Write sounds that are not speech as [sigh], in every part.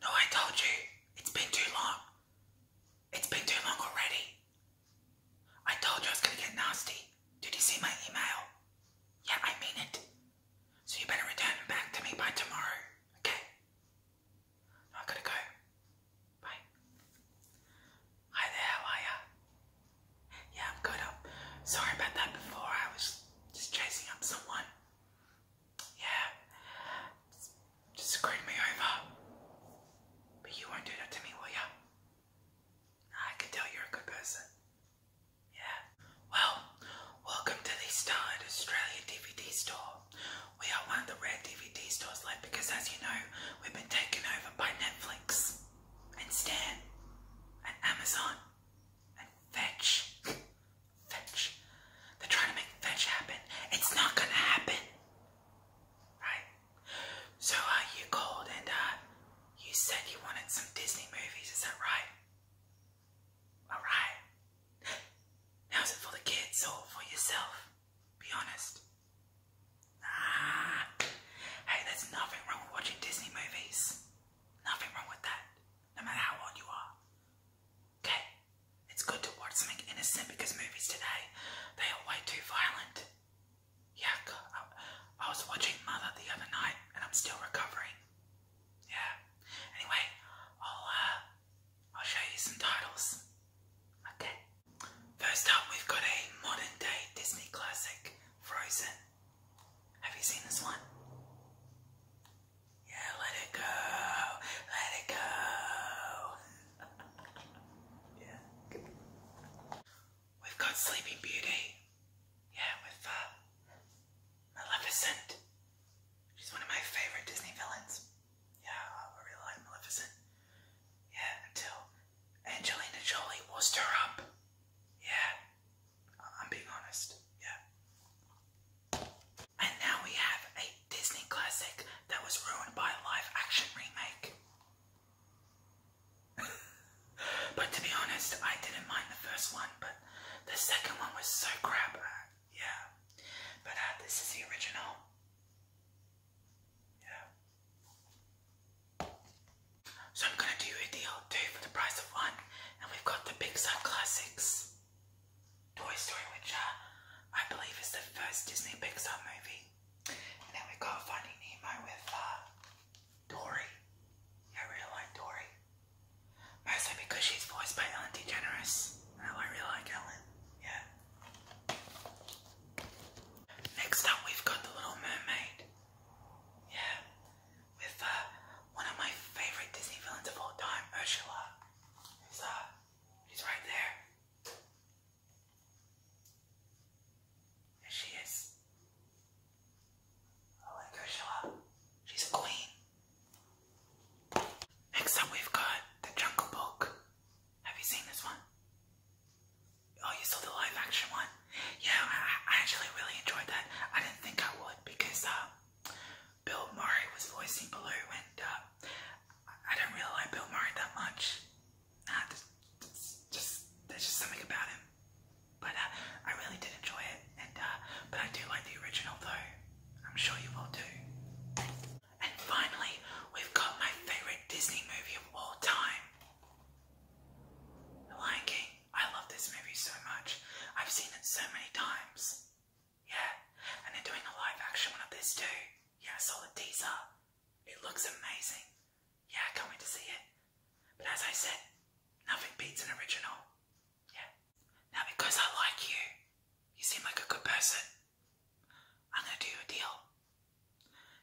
No, I told you. It's been too long. It's been too long already. I told you I was gonna get nasty. Did you see my email? Yeah, I mean it. So you better return it back to me by tomorrow, okay? I gotta go. Bye. Hi there, how are ya? Yeah, I'm good. I'm sorry about that before. I was just chasing up someone. Yeah. Just, screw me over. But you won't do that to me, will you? I can tell you're a good person. Yeah. Well, welcome to the Starred Australia DVD store. We are one of the rare DVD stores left because, as you know, we've been taken over by Netflix and Stan and Amazon and Fetch Fetch. They're trying to make fetch happen. It's not gonna happen. Right? So uh, you called and uh, you said you wanted some Disney movies, is that right? Alright. Now is it for the kids or for yourself? Be honest. Ah, hey, there's nothing wrong with watching Disney movies. Nothing wrong with that, no matter how old you are. Okay? It's good to watch something innocent because movies today, they are way too violent. Yeah, I was watching Mother the other night and I'm still recovering. Yeah. Anyway, I'll, uh, I'll show you some titles. Okay. First up, we've got a modern day Disney classic, Frozen. Have you seen this one? Yeah, let it go. Let it go. [laughs] yeah. We've got Sleeping Beauty. Yeah, with uh, Maleficent. She's one of my favorite Disney villains. Yeah, I really like Maleficent. Yeah, until Angelina Jolie wussed her up. Yeah, I'm being honest, yeah. And now we have a Disney classic that was ruined by a live action remake. [laughs] but to be honest, I didn't mind the first one, but the second one was so crap. Uh, yeah. But uh, this is the original. Yeah. So I'm gonna do a deal two for the price of one. And we've got the Pixar classics. Toy Story, which uh, I believe is the first Disney Pixar movie. And then we got Finding Nemo with uh, Dory. I really like Dory. Mostly because she's voiced by Ellen DeGeneres. And I really like Ellen. Yeah. Next up, we've got The Little Mermaid. Yeah with uh, one of my favorite Disney villains of all time, Ursula. Who's uh, she's right there. There she is. I like Ursula. She's a queen. Next up, we've got the Jungle Book. Have you seen this one? Oh, you saw the live action one? Yeah, I, actually really enjoyed that. I didn't think I would because uh, Bill Murray was voicing Baloo, and uh, I don't really like Bill Murray that much. Nah, just, there's just something about him. But uh, I really did enjoy it, and but I do like the original though. I'm sure you will too. And finally, we've got my favorite Disney movie of all time. The Lion King. I love this movie so much. I've seen it so many times. Yeah, and they're doing a live action one of this too. Yeah, I saw the teaser. It looks amazing. Yeah, I can't wait to see it. But as I said, nothing beats an original. Yeah. Now because I like you, you seem like a good person. I'm gonna do you a deal.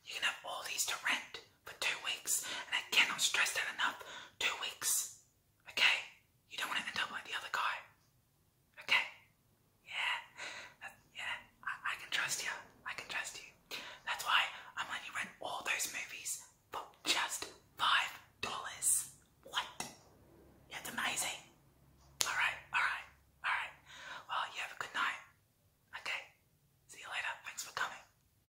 You can have all these to rent for two weeks. And I cannot stress that enough. Two weeks. Okay? You don't want to end up like the other guy. Okay? Yeah. yeah. I, can trust you. I can trust you. That's why I'm you rent all those movies for just five dollars. What? That's amazing. Alright, alright, alright. Well, you have a good night. Okay. See you later. Thanks for coming.